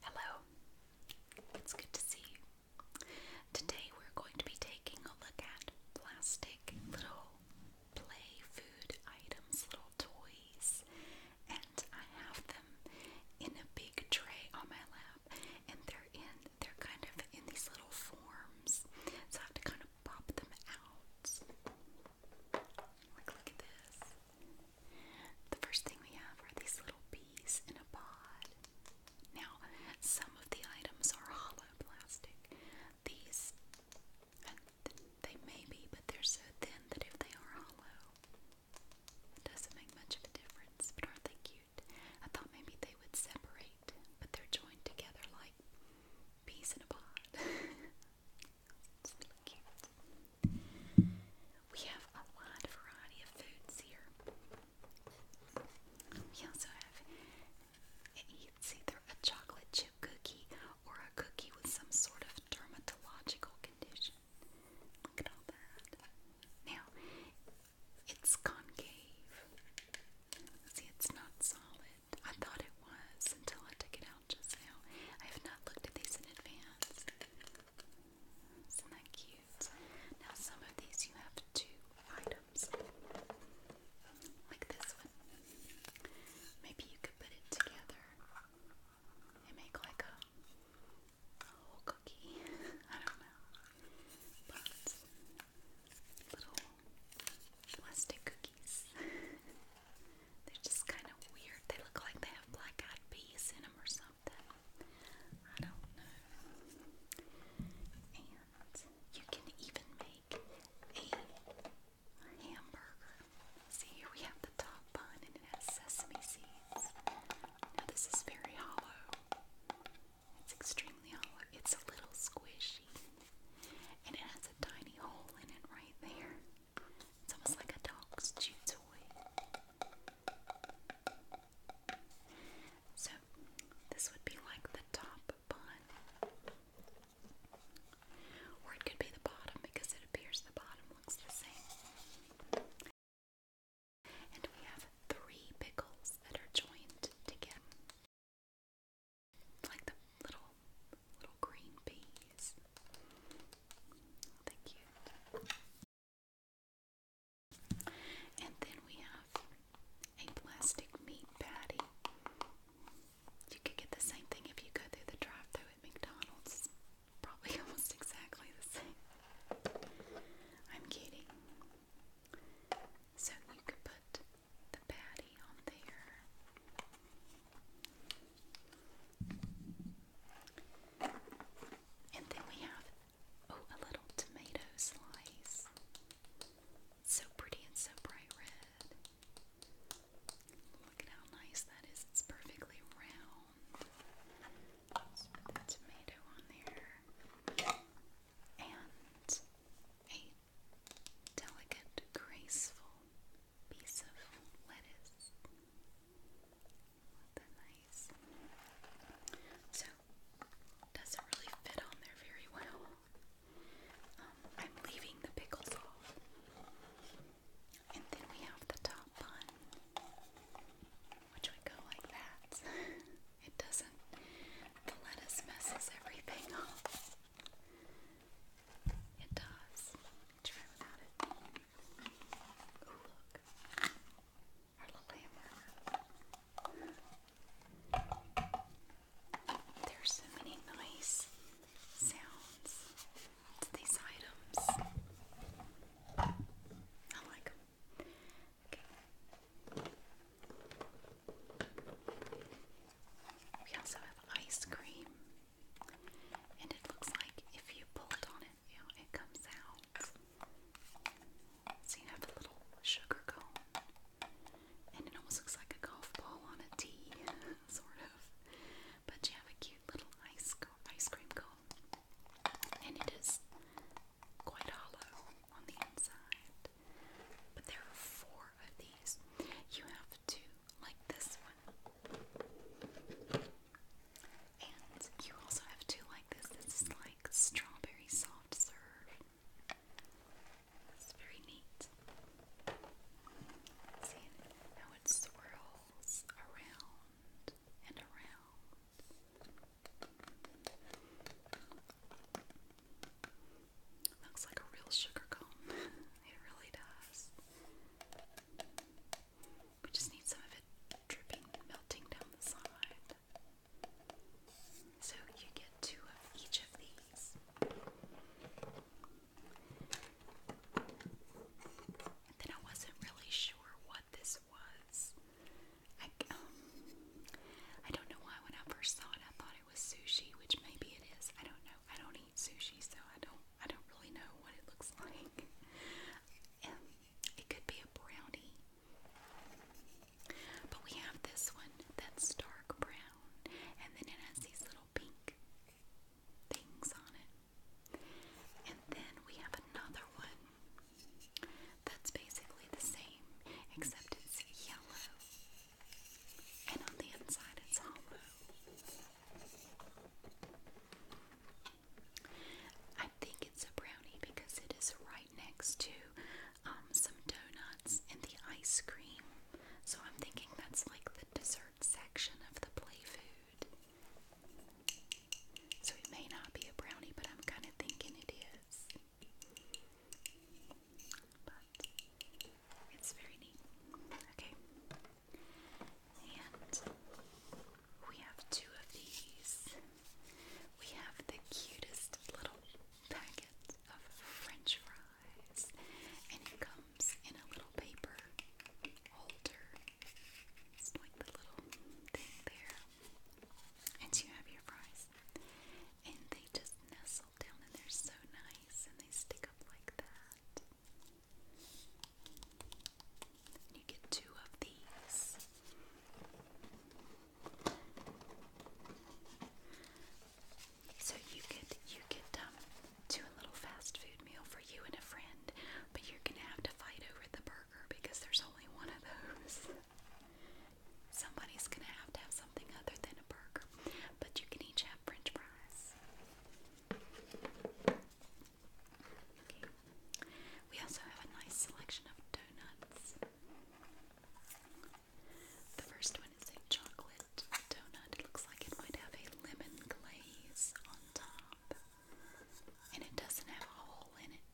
Hello, it's good to see you. Today we're going to be taking a look at plastic little play food items, little toys, and I have them in a big tray on my lap, and they're in, they're kind of in these little forms, so I have to kind of pop them out. Like, look at this. The first thing we have are these little bees in a pod. Now, some of the items are hollow plastic. These, they may be, but they're so thin that if they are hollow, it doesn't make much of a difference. But aren't they cute? I thought maybe they would separate, but they're joined together like bees in a pod. It's really We have a wide variety of foods here. We also have, it's either a chocolate chip cookie or a cookie with some sort of dermatological condition. Look at all that. Now, it's concave. See, it's not solid. I thought it was until I took it out just now. I have not looked at these in advance. Isn't that cute? Now some of these you have two items. Like this one. Maybe you could put it together and make like a, whole cookie. I don't know. little plastic cookies. They're just kind of weird. They look like they have black eyed peas in them or something you can even make a hamburger. See, we have the top bun and it has sesame seeds. Now, this is very hollow. It's extremely hollow. It's a little squishy. And it has a tiny hole in it right there. It's almost like a dog's chew toy. So this would be like the top bun. Or it could be the bottom because it appears the bottom looks the same. And we have three pickles that are joined together. Like the little little green peas. Thank you. And then we have a plastic meat patty. You could get the same thing if you go through the drive through at McDonald's. Probably almost exactly the same. I'm kidding. So you could put the patty on there. And then we have, oh, a little tomato slice. So pretty and so bright red. Look at how nice that is. It's perfectly round. put the tomato on there. And a delicate, graceful piece of lettuce. So, doesn't really fit on there very well. Um, I'm leaving the pickles off. And then we have the top bun, which would go like that. it doesn't, the lettuce messes everything up. It does. Try without it. Oh, There's so many nice sounds to these items. I like them. Okay. We also have ice cream, and it looks like if you pulled on you it comes out. So you have a little sugar cone, and it almost looks like a golf ball on a tee, sort of. But you have a cute little ice ice cream cone, and it is quite hollow on the inside. But there are four of these. You have to like this one. And you also have two like this. This is like strawberry soft serve. It's very neat. See how it swirls around and around. Looks like a real sugar cone. it really does. We just need some of it dripping, melting down the side. So you get two of each of these. then I wasn't really sure what this was. I, um, I don't know why when I first saw it I thought it was sushi, which maybe it is. I don't know. I don't eat sushi, so I don't I don't really know what it looks like. Um, it could be a brownie. But we have this one that's dark brown, and then it has these little pink things on it. And then we have another one that's basically the same, except it's yellow, and on the inside it's hollow. I think it's a brownie because it is right next to um, some donuts and the ice cream. So I'm thinking that's like the dessert section of the play food. So it may not be a brownie, but I'm kind of thinking it is. But it's very neat. Okay. And we have two of these. We have the cutest little packet of French fries, and it comes in a little paper holder. It's like the little thing there. And you have your fries. And they just nestle down, and they're so nice, and they stick up like that. You get two of these. So you could you could um, do little fast food meal for you and a friend, but you're gonna have to fight over the burger because there's only one of those. Somebody's gonna have to have something other than a burger, but you can each have French fries. We also have a nice selection of donuts. The first one is a chocolate donut. It looks like it might have a lemon glaze on top. And it doesn't have a hole in it.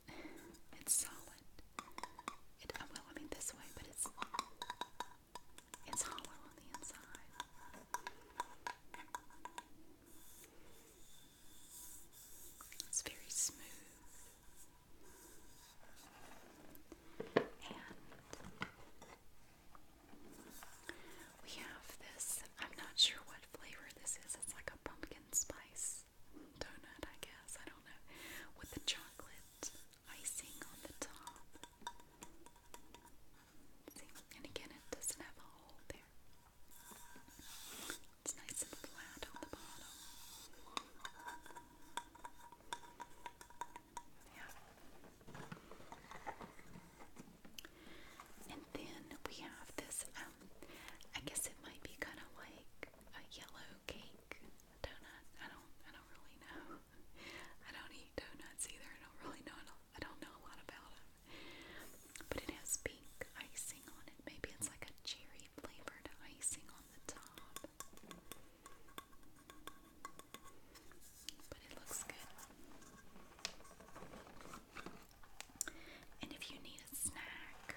It's solid. It, uh, well, I this way, but it's it's hollow on the inside. It's very smooth. And we have this, I'm not sure what flavor this is. It's like a pumpkin spice donut, I guess. I don't know. With the chocolate icing on the top and again, it doesn't have a hole there. It's nice and flat on the bottom. Yeah. And then we have this, um, I guess it might be kind of like a yellow cake donut. I don't, I don't really know. I don't eat donuts either. I don't really know I don't know a lot about them. But it has pink icing on it. Maybe it's like a cherry flavored icing on the top. But it looks good. And if you need a snack,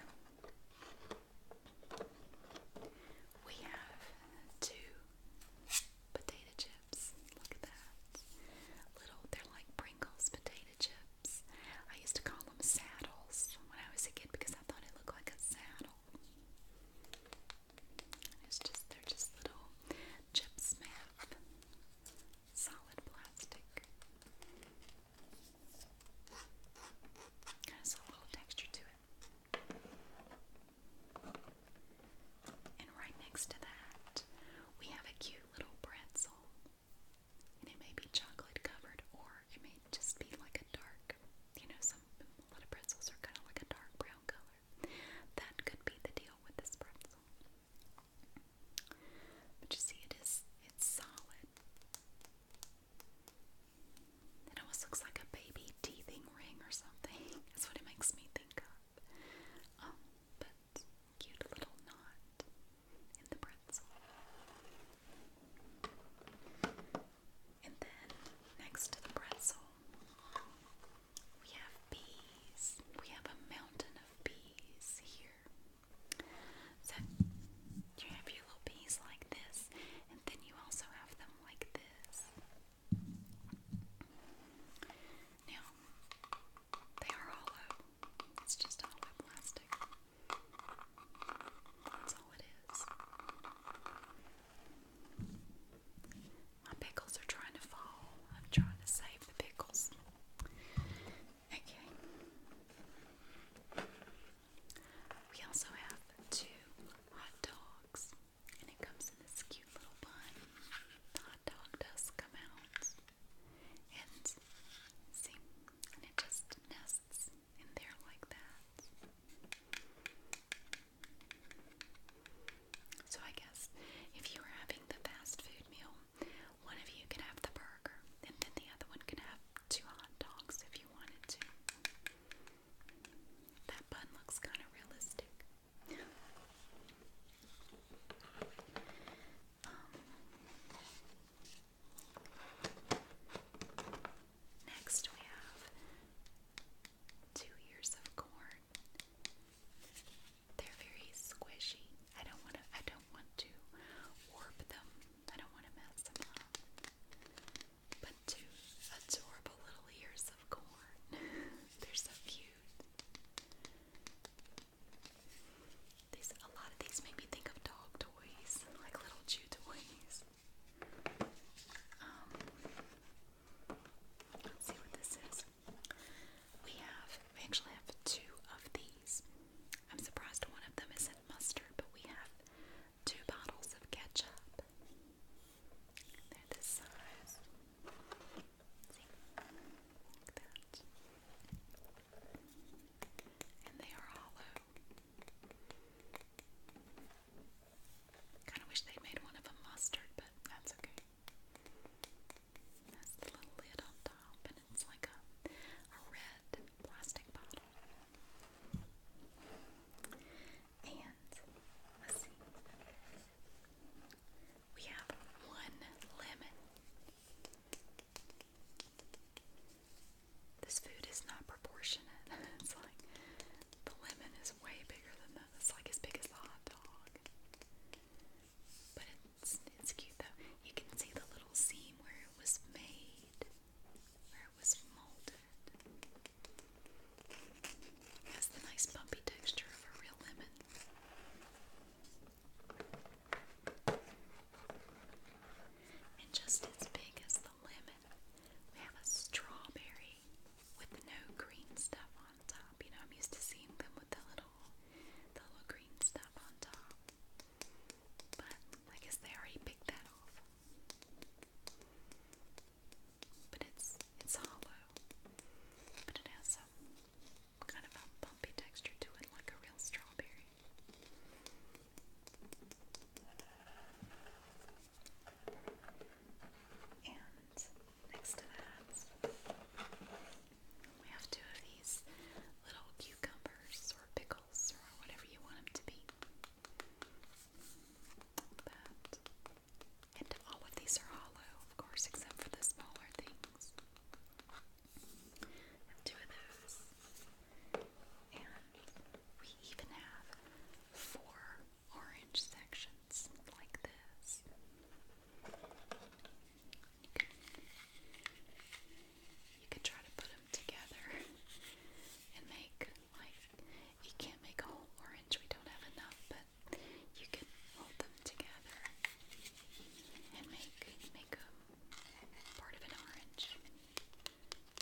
we have two potato chips. Look at that. Little, they're like Pringles potato chips. I used to call them saddles when I was a kid because I thought it looked like a saddle. it's just they're just little chip smith, solid plastic. Has a little texture to it. And right next to that, we have a cute little pretzel it may be chocolate covered, or it may just be like a dark, you know, some a lot of pretzels are kind of like a dark brown color. That could be the deal with this pretzel. But you see, it is it's solid. It almost looks like a baby teething ring or something. That's what it makes me think of. Um, but cute little knot in the pretzel. And then next to the pretzel, we have bees. We have a mountain of bees here. So you have your little bees like this, and then you also have them like this. Now, they are hollow. It's just hollow plastic. That's all it is. My pickles are trying to fall. I'm trying to save the pickles. Okay. We also have two hot dogs, and it comes in this cute little bun hot dog does come out and see, and it just nests in there like that. So I guess if you were having the fast food meal, one of you could have the burger, and then the other one could have two hot dogs if you wanted to. That bun looks kind of realistic next, we have two ears of corn. They're very squishy. I don't want to. I don't want to warp them. I don't want to mess them up. But two adorable little ears of corn. They're so cute. These a lot of these make me think of dog toys, like little chew toys. Um, let's see what this is. We have we actually have two of these. I'm surprised one of them isn't mustard, but we have two bottles of ketchup. They're this size like that. And they are hollow. Kind of wish they made one of a mustard, but that's okay. That's the little lid on top, and it's like a, red plastic bottle. And let's see. We have one lemon. This food is not proportionate. it's like the lemon is way bigger than that. It's like as big as the hot dog. But it's it's cute though. You can see the little seam where it was made, where it was molded. has the nice bumpy texture of a real lemon. And just as big as the lemon, we have a strawberry with no green stuff on top. You know, I'm used to seeing them with the little, the little green stuff on top. But I guess they already picked that off. But it's it's hollow. But it has some kind of a bumpy texture to it, like a real strawberry. And next to that, we have two of these little cucumbers or pickles or whatever you want them to be. That. And all of these are hollow, of course, except for the smaller things two of those. And we even have four orange sections like this. You can, try to put them together and make, like, you can't make a whole orange, we don't have enough, but you can hold them together and make make a part of an orange.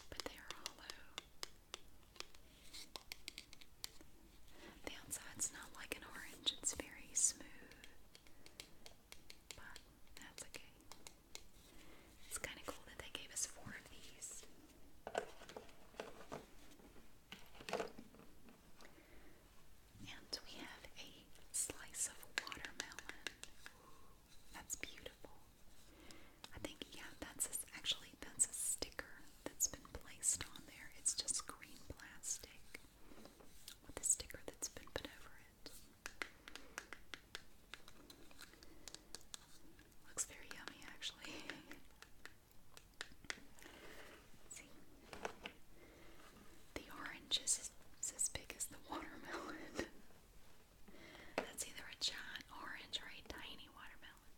But they are hollow. The outside's not like an orange, it's very smooth. But that's okay. It's kind of cool that they gave us four of these. And we have a slice of watermelon. That's beautiful. I think, yeah, that's actually that's a sticker that's been placed on there. It's just green plastic with a sticker that's been put over it. Looks very yummy, actually. The orange is, as big as the watermelon. That's either a giant orange or a tiny watermelon.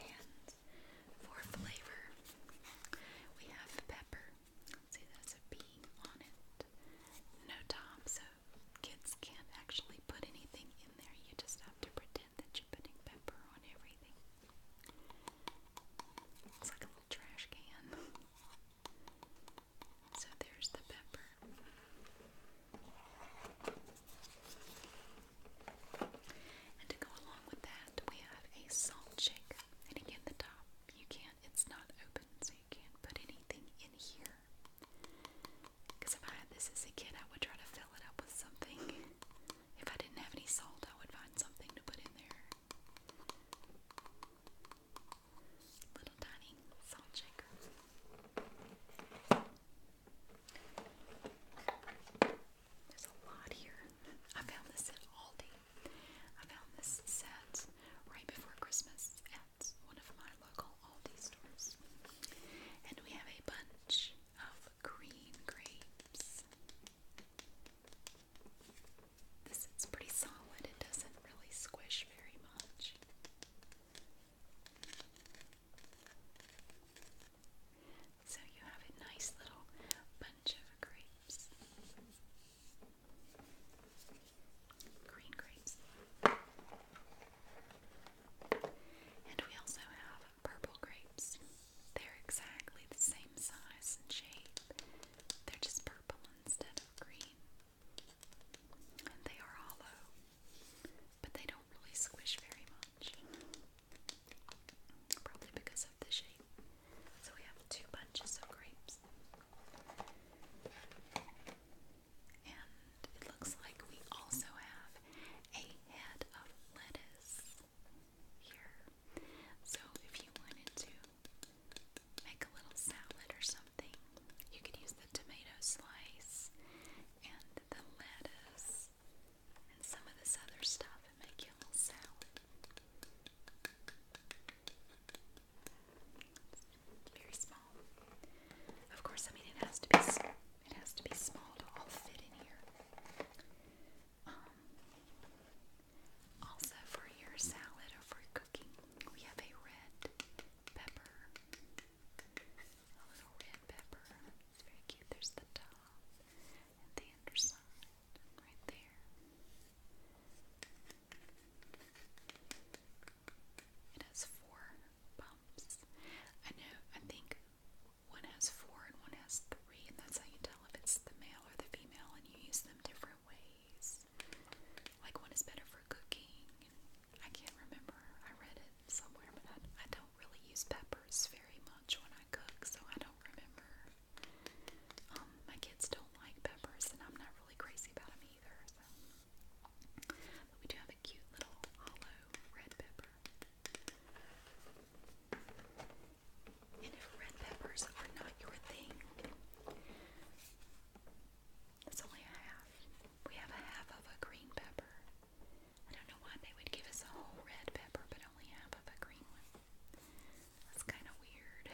And for flavor, we have pepper. see, that's a on it. No top, so kids can't actually put anything in there. You just have to pretend that you're putting pepper on everything. It's like a little trash can. So there's the pepper. And to go along with that, we have a salt shaker. And again, the top, you can't, it's not open, so you can't put anything in here. Because if I had this as a kid, I would try to fill it up with something. If I didn't have any salt, I would find something to put in there. Little tiny salt shaker. There's a lot here. I found this at Aldi. I found this set right before Christmas at one of my local Aldi stores. And we have a bunch of green grapes. This is pretty solid, it doesn't really squish very much. So you have a nice little bunch of grapes. Green grapes. And we also have purple grapes. They're exactly the same size and shape. They're just purple instead of green. And they are hollow, but they don't really squish very much. Probably because of the shape. So we have two bunches of grapes. And it looks like we also have a head of lettuce here. So if you wanted to make a little salad or something, you could use the tomato slice and the lettuce and some of this other stuff and make you a little salad. very small. Of course, I mean, it has to be it has to be small to all fit in here. Um, also, for your salad or for cooking, we have a red pepper. A little red pepper. It's very cute. There's the top and the underside right there. It has four bumps. I know, I think one has four and one has three, and that's how you tell if it's the male or the female, and you use them different ways. Like one is better for cooking. I can't remember. I read it somewhere, but I, I don't really use peppers very much when I cook, so I don't remember. Um, my kids don't like peppers, and I'm not really crazy about them either. So. But we do have a cute little hollow red pepper. And if red peppers are not your thing, it's only a half. We have a half of a green pepper. I don't know why they would give us a whole red pepper, but only half of a green one. That's kind of weird.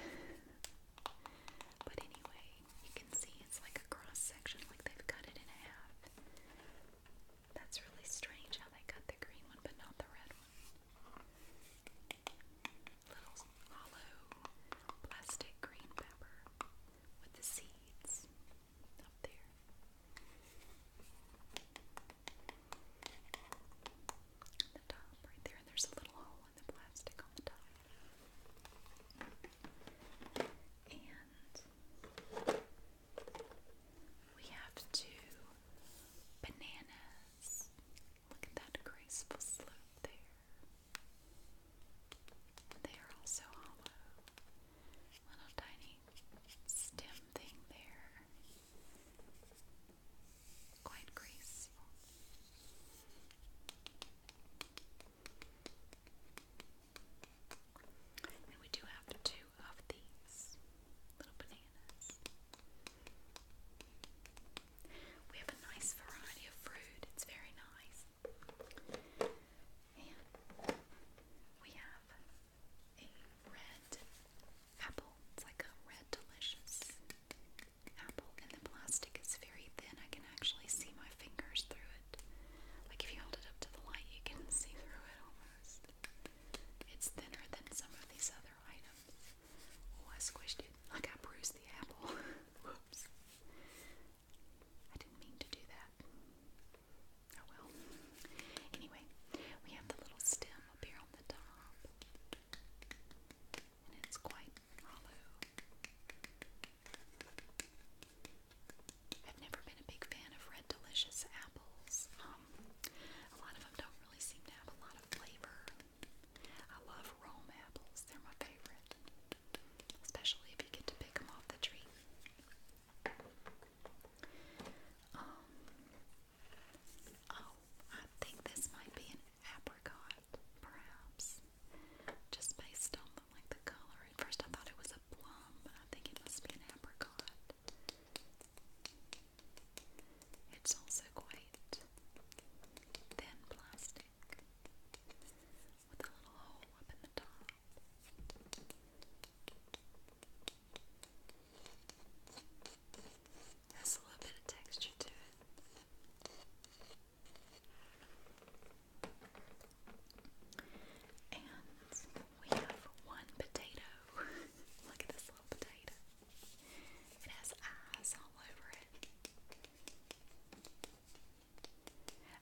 but anyway, you can see it's like a cross section, like they've cut it in half. That's really strange how they cut the green one but not the red one. Little hollow plastic green pepper with the seeds up there. the top, right there, and there's a little hole in the plastic on the top. And we have two bananas. Look at that graceful slope there. They are also hollow. Little tiny stem thing there. Quite graceful. And we do have two of these little bananas. We have a nice variety of fruit, it's very nice. we have a red apple, it's like a red delicious apple, and the plastic is very thin. I can actually see my fingers through it. Like if you hold it up to the light, you can see through it almost. It's thinner than some of these other items. Oh, I squished it. Like I bruised the apple. Whoops. I didn't mean to do that. Oh well. Anyway, we have the little stem up here on the top. And it's quite hollow. I've never been a big fan of Red Delicious apples a lot of them don't really seem to have a lot of flavor. I love Rome apples, they're my favorite, especially if you get to pick them off the tree. Um, oh, I think this might be an apricot, perhaps, just based on like the color. At first, I thought it was a plum, but I think it must be an apricot. It's also quite thin plastic with a little hole up in the top. Has a little bit of texture to it. And we have one potato. Look at this little potato. It has eyes all over it.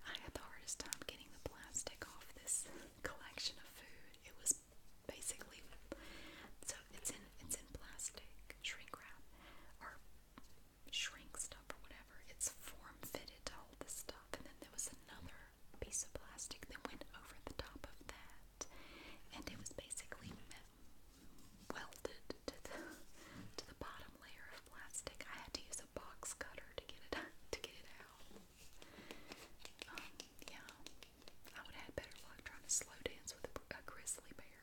I had the hardest time getting the plastic off this collection of food. It was basically so it's in it's in plastic shrink wrap or shrink stuff or whatever. It's form fitted to hold this stuff. And then there was another piece of plastic that went over the top of that, and it was basically welded to the bottom layer of plastic. I had to use a box cutter to get it to get it out. Um, yeah, I would have had better luck trying to slow dance with a grizzly bear.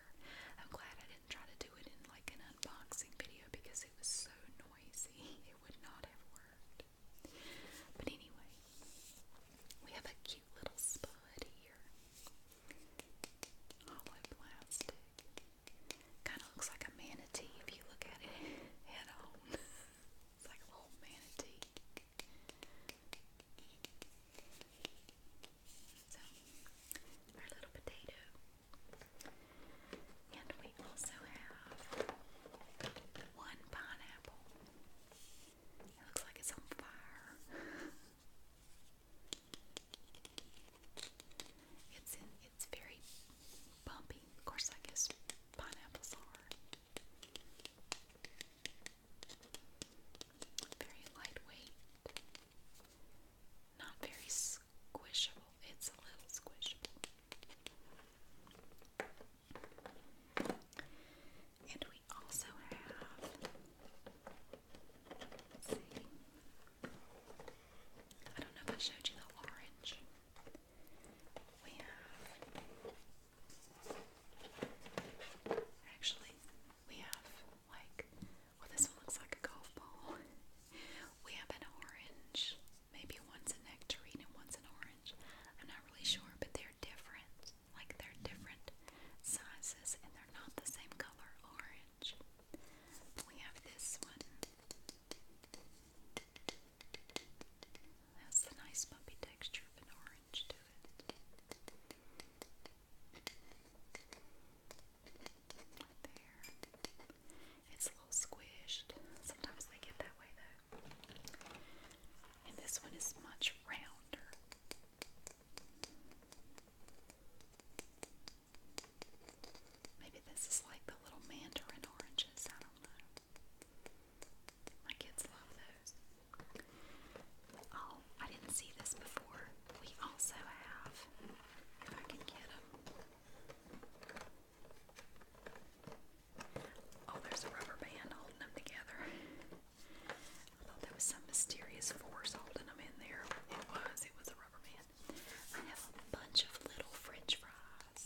I'm glad I didn't try to do it in like an unboxing video because it was so noisy. It would not have worked. But anyway, we have a cute little spud here. Hollow plastic. Kind of looks like a manatee if you look at it head on. it's like a little manatee. So, our little potato. And we also have one pineapple. It looks like it's on fire. it's it's very bumpy. Of course, I guess pineapples are very lightweight, not very squishable. It's a little squishable. And we also have, I don't know if I showed you the orange. We have, actually, we have like, well, this one looks like a golf ball. We have an orange Maybe one's a nectarine and one's an orange. I'm not really sure, but they're different. Like they're different sizes and they're not the same color orange. We have this one. That's the nice bumpy texture of an orange to it. there. It's a little squished. Sometimes they get that way though. And this one is much rounder. Maybe this is like the little mandarin oranges. I don't know. My kids love those. Oh, I didn't see this before. We also have, if I can get them, Oh, there's a rubber band holding them together. I thought there was some mysterious force holding them in there. It was. It was a rubber band. I have a bunch of little French fries,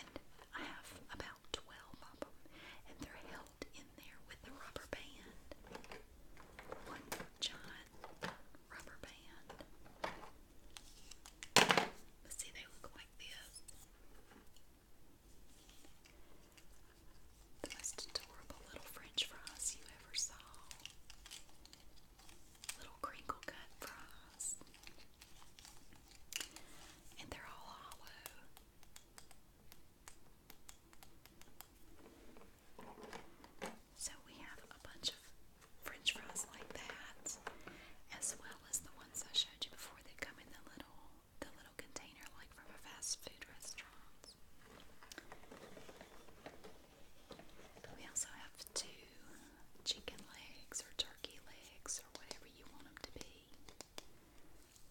and I have about twelve of them, and they're held in there with a rubber band. One giant rubber band. see, they look like this. The most adorable little French fries you ever saw. Little crinkle cut fries. And they're all hollow. So we have a bunch of French fries like that, as well as the I showed you before. They come in the little container like from a fast food restaurant. we also have two chicken legs or turkey legs or whatever you want them to be.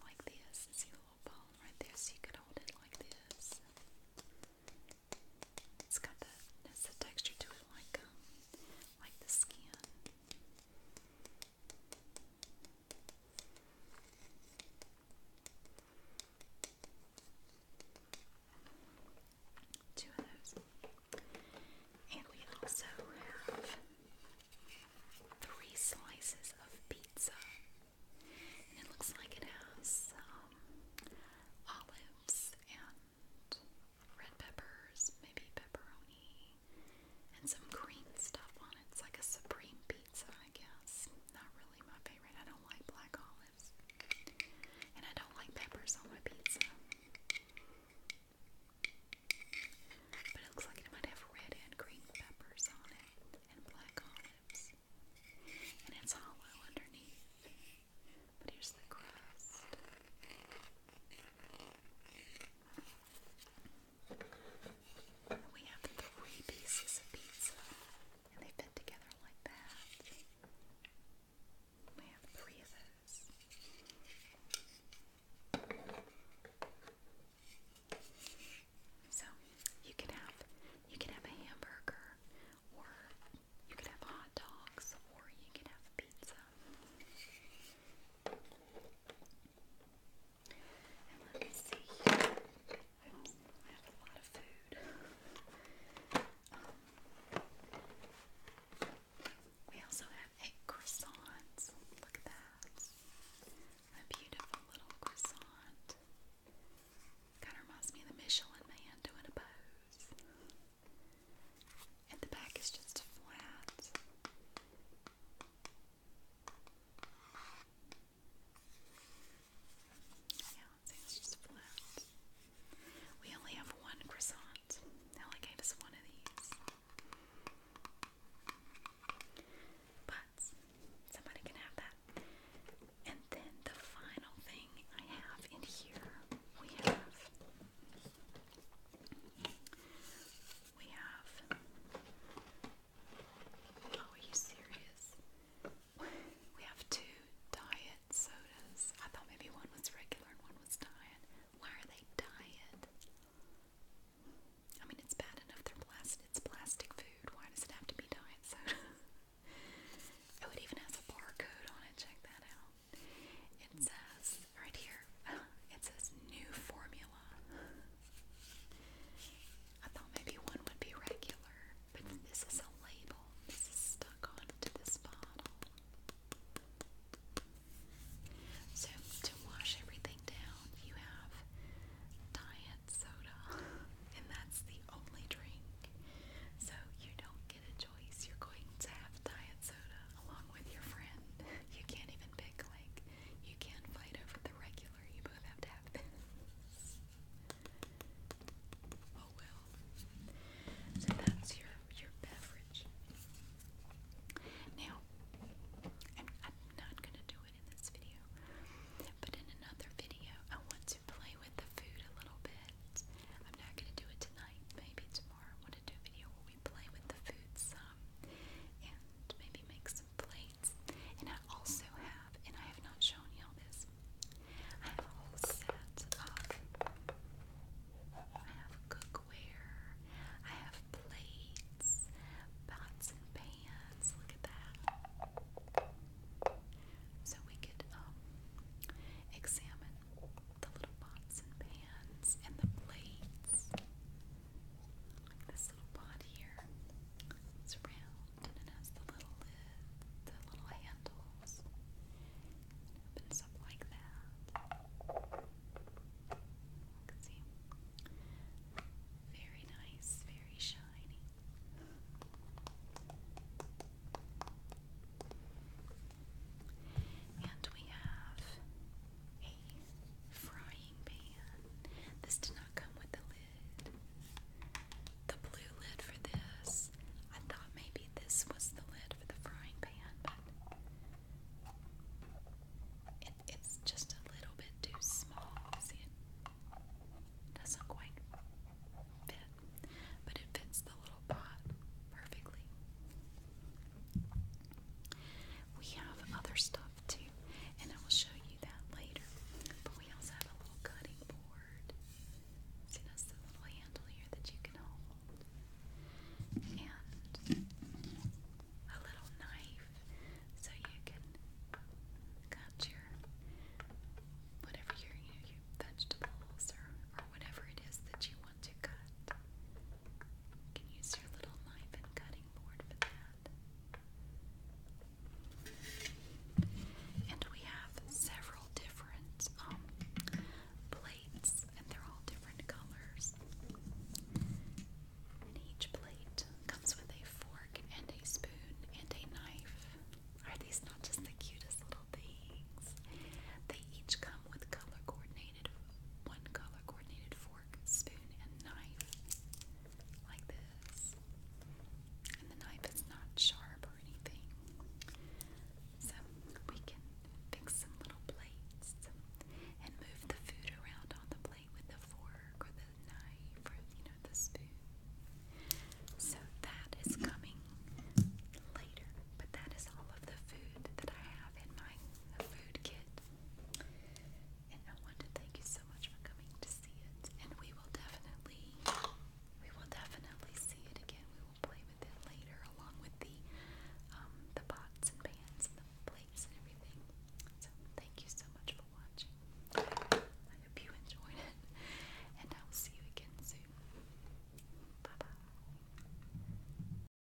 Like this. see the little bone right there so you could hold it like this. It's got the, that's the texture to it like um, like the skin. Two of those. And we also have three slices of pizza. it looks like it has um, olives and red peppers, maybe pepperoni, and some green stuff on it. It's like a supreme pizza, I guess. Not really my favorite. I don't like black olives. And I don't like peppers on my pizza. But it looks like it might have red and green peppers on it and black olives. And it's hollow underneath. But here's the crust. We have three pieces of pizza, and they fit together like that. We have three of those. So you can have you can have a hamburger, or you can have hot dogs, or you can have pizza. And let um, we also have eight croissants. Look at that. A beautiful little croissant. Kind of reminds me of the Michelin man doing a pose and the back is just flat. Yeah, it's just flat. We only have one croissant. Ellie gave us one of these. But somebody can have that. And then the final thing I have in here we have we have. Oh, are you serious? We have two diet sodas. I thought maybe one was regular and one was diet. Why are they diet? I mean, it's bad enough they're plastic. It's plastic food. Why does it have to be diet soda? oh, it even has a barcode on it. Check that out. It says, right here, it says new formula. I thought maybe one would be regular, but this is a label. This is stuck onto this bottle. So, to wash everything down, you have diet soda, and that's the only drink. So, you don't get a choice. You're going to have diet soda along with your friend. You can't even pick, like, you can't fight over the regular. You both have to have this. Oh well. So that's your your beverage. Now, I'm, not gonna do it in this video, but in another video, I want to play with the food a little bit. I'm not gonna do it tonight. Maybe tomorrow want do a video where we play with the food and maybe make some plates. And I also have, and I have not shown y'all this, I have a whole set of, I have cookware, I have plates, pots and pans, look at that. So we could um, examine the little pots and pans and the plates. this little pot here. It's round and it has the little lid, the little handles. It opens up like that. can see. Very nice, very shiny. And we have a frying pan. This did not come with the lid. The blue lid for this. I thought maybe this was the lid for the frying pan, but it's just a little bit too small. See, it doesn't quite fit, but it fits the little pot perfectly. We have other stuff too, and I will show you that later. But we also have a little cutting board. See, that's the little handle here that you can hold. And a little knife so you can cut your whatever your, vegetables or, whatever it is that you want to cut. You can use your little knife and cutting board for that. And we have several different um, plates, and they're all different colors. And each plate comes with a fork and a spoon and a knife. Are these not just the cutest little things? They each come with color coordinated, one color coordinated spoon, and knife like this. And the knife is not sharp or anything. So we can fix some little plates and move the food around on the plate with the fork or the knife or, you know, the spoon. So that is coming later, but that is all of the food that I have in my food kit. And I want to thank you so much for coming to see it. And we will definitely, we will definitely see it again. We will play with it later, along with the, um, the pots and pans and the plates and everything. So thank you so much for watching. I hope you enjoyed it, and I will see you again soon. Bye bye.